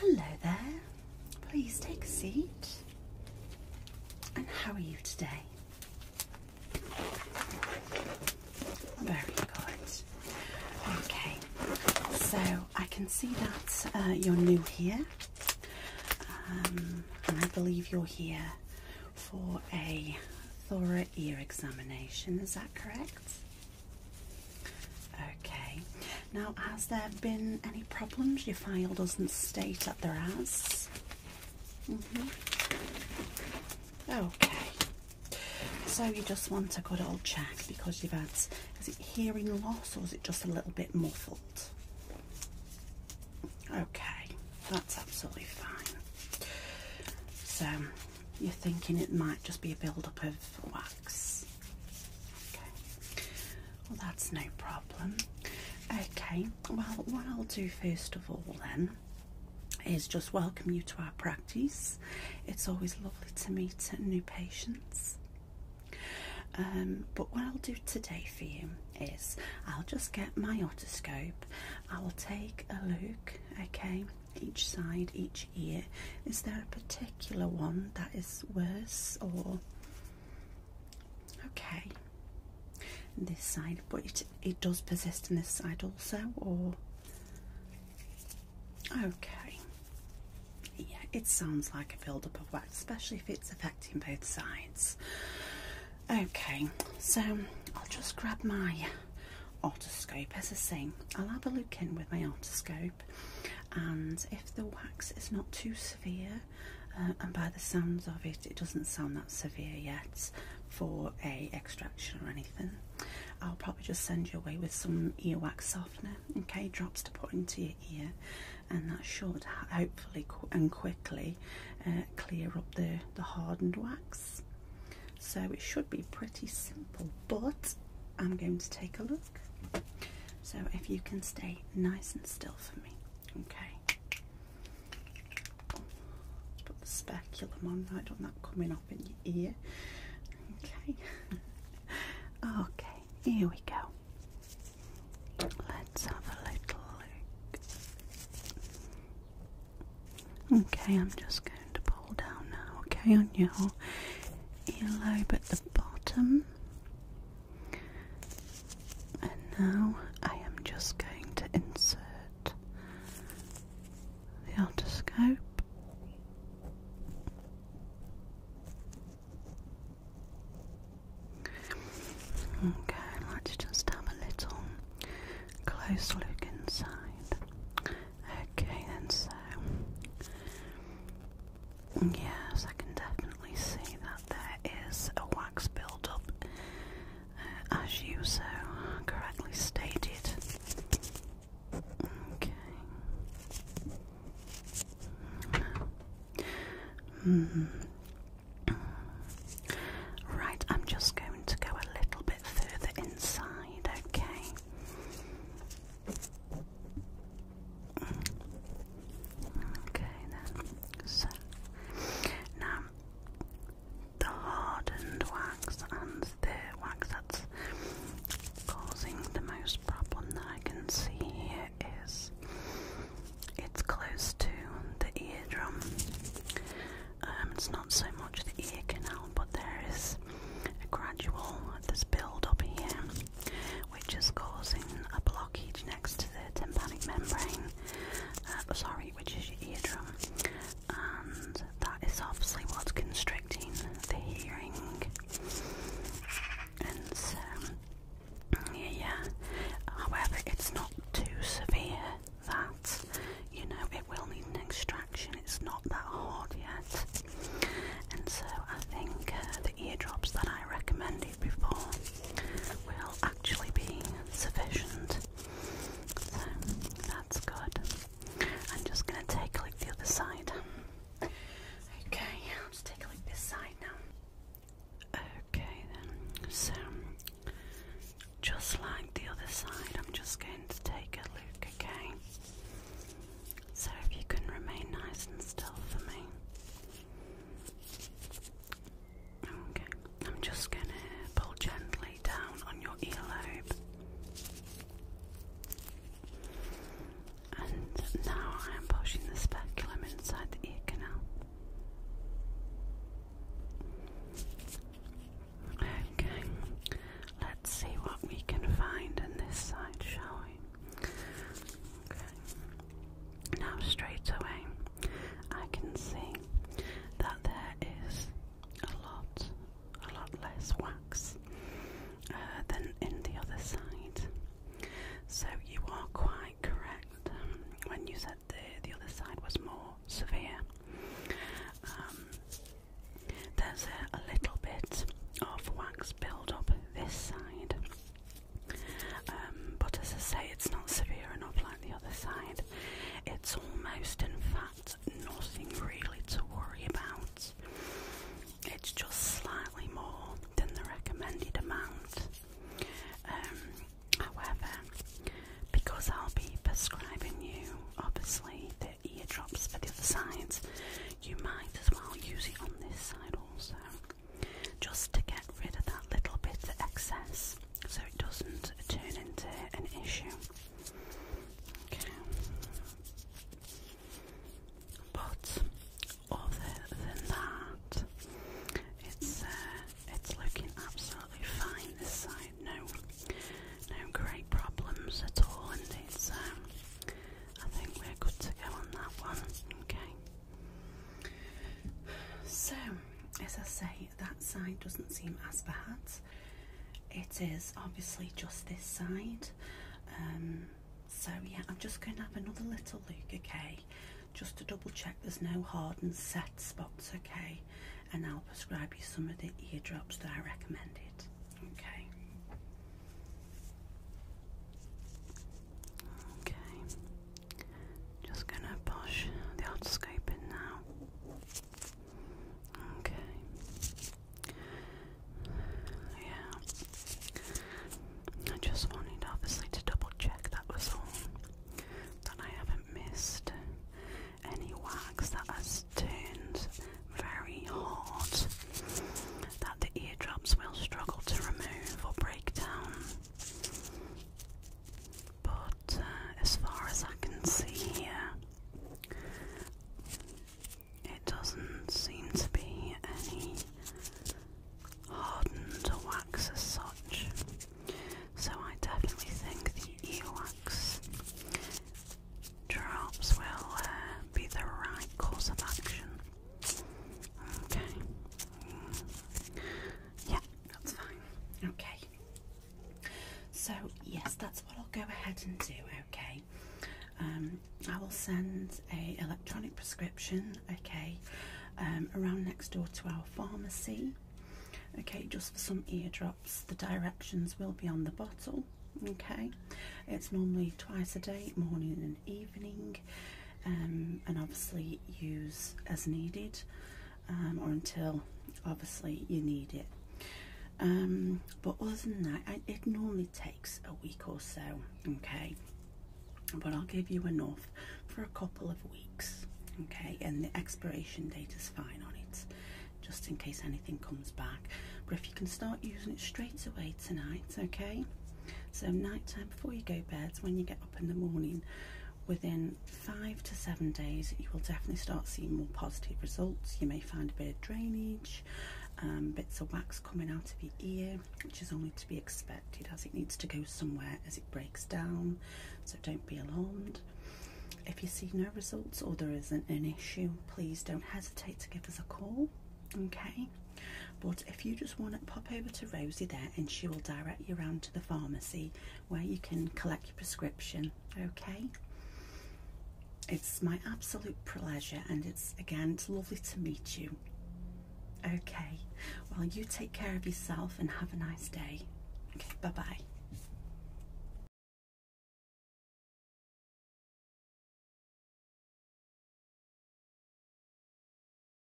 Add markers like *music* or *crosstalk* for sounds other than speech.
Hello there. Please take a seat. And how are you today? Very good. Okay, so I can see that uh, you're new here, um, and I believe you're here for a thoracic ear examination. Is that correct? Okay, now has there been any problems? Your file doesn't state that there has. Mm-hmm. Okay, so you just want a good old check because you've had, is it hearing loss or is it just a little bit muffled? Okay, that's absolutely fine. So you're thinking it might just be a build-up of wax. well that's no problem. Okay, well what I'll do first of all then is just welcome you to our practice. It's always lovely to meet new patients. Um, but what I'll do today for you is I'll just get my otoscope, I'll take a look okay each side each ear is there a particular one that is worse or okay this side but it it does persist in this side also or okay yeah it sounds like a build-up of wax especially if it's affecting both sides Okay, so I'll just grab my otoscope as a say. I'll have a look in with my otoscope, and if the wax is not too severe, uh, and by the sounds of it, it doesn't sound that severe yet for a extraction or anything. I'll probably just send you away with some ear wax softener, okay, drops to put into your ear, and that should, I and quickly uh, clear up the, hardened wax. So it should be pretty simple, but I'm going to take a look. So if you can stay nice and still for me, okay? Put the speculum on, don't that coming up in your ear. Okay. *laughs* okay, here we go. Let's have a little look. Okay, I'm just going to pull down now, okay, on your earlobe at the bottom. And now I am just going to insert the otoscope. Okay, let's just have a little close look inside. Okay, then so yes, I can definitely see that there is a wax buildup, uh, as you so correctly stated. Okay. Mm. Right, I'm just going to go a little bit further inside, okay? Okay, then. So, now the hardened wax and the wax that's causing the most problem that I can see here it is it's close to the eardrum. Um, it's not so much the ear canal, but there is a gradual this build up here, which is causing a blockage next to the tympanic membrane. Uh, sorry, which is your eardrum, and that is obviously what's constricting the hearing. And so, um, yeah, however, it's not too severe that you know it will need an extraction, it's not that hard yet. And so, I think uh, the eardrops that I recommended before will actually be sufficient. So, that's good. I'm just going to take look the other side. Okay, I'll take a look this side now. Okay then, so just like the other side, I'm just going to take a look, okay? So if you can remain nice and still for me. Okay, I'm just going to pull gently down on your earlobe. And now I am pushing the speculum inside the ear canal. Okay, let's see what we can find in this side, shall we? Okay, now straight away I can see that there is a lot, a lot less wax uh, than in the other side. So you are quite correct um, when you said the the other side was more severe. Um, there's a, little bit of wax build up this side, um, but as I say, it's not severe enough like the other side. It's almost, in fact, nothing really to worry about it's just slightly more than the recommended amount. Um, however, because I'll be prescribing you obviously the ear drops for the other sides, you might as well use it on this side also, just to get rid of that little bit of excess so it doesn't turn into an issue. Okay. But other than that, it's uh, it's looking absolutely fine this side. No, no great problems at all, and it's um, I think we're good to go on that one. Okay. So, as I say, that side doesn't seem as bad. It is obviously just this side. Um, so yeah, I'm just going to have another little look, okay? Just to double check there's no hard and set spots, okay? And I'll prescribe you some of the eardrops that I recommended, okay? Okay, just going to push the otoscope in now. Okay. Yeah. I just wanted obviously to double check that was all. That I haven't missed any wax that has turned very hot, That the eardrops will struggle to remove or break down. But uh, as far as I can see here, it doesn't seem to be any hardened wax as such. So I definitely think the earwax drops will uh, be the right course of action. Okay. Mm. Yeah, that's fine. Okay. So, yes, that's what I'll go ahead and do, okay? Um, I will send a electronic prescription, okay, um, around next door to our pharmacy, okay, just for some eardrops. The directions will be on the bottle, okay? It's normally twice a day, morning and evening, um, and obviously use as needed. Um, or until obviously you need it. Um, but other than that, it normally takes a week or so, okay. But I'll give you enough for a couple of weeks, okay. And the expiration date is fine on it, just in case anything comes back. But if you can start using it straight away tonight, okay. So nighttime before you go bed, when you get up in the morning, within five to seven days, you will definitely start seeing more positive results. You may find a bit of drainage, um, bits of wax coming out of your ear, which is only to be expected as it needs to go somewhere as it breaks down. So don't be alarmed. If you see no results or there isn't an issue, please don't hesitate to give us a call. Okay, but if you just want to pop over to Rosie there and she will direct you around to the pharmacy where you can collect your prescription. Okay, it's my absolute pleasure, and it's again it's lovely to meet you. Okay, well, you take care of yourself and have a nice day. Okay, bye bye.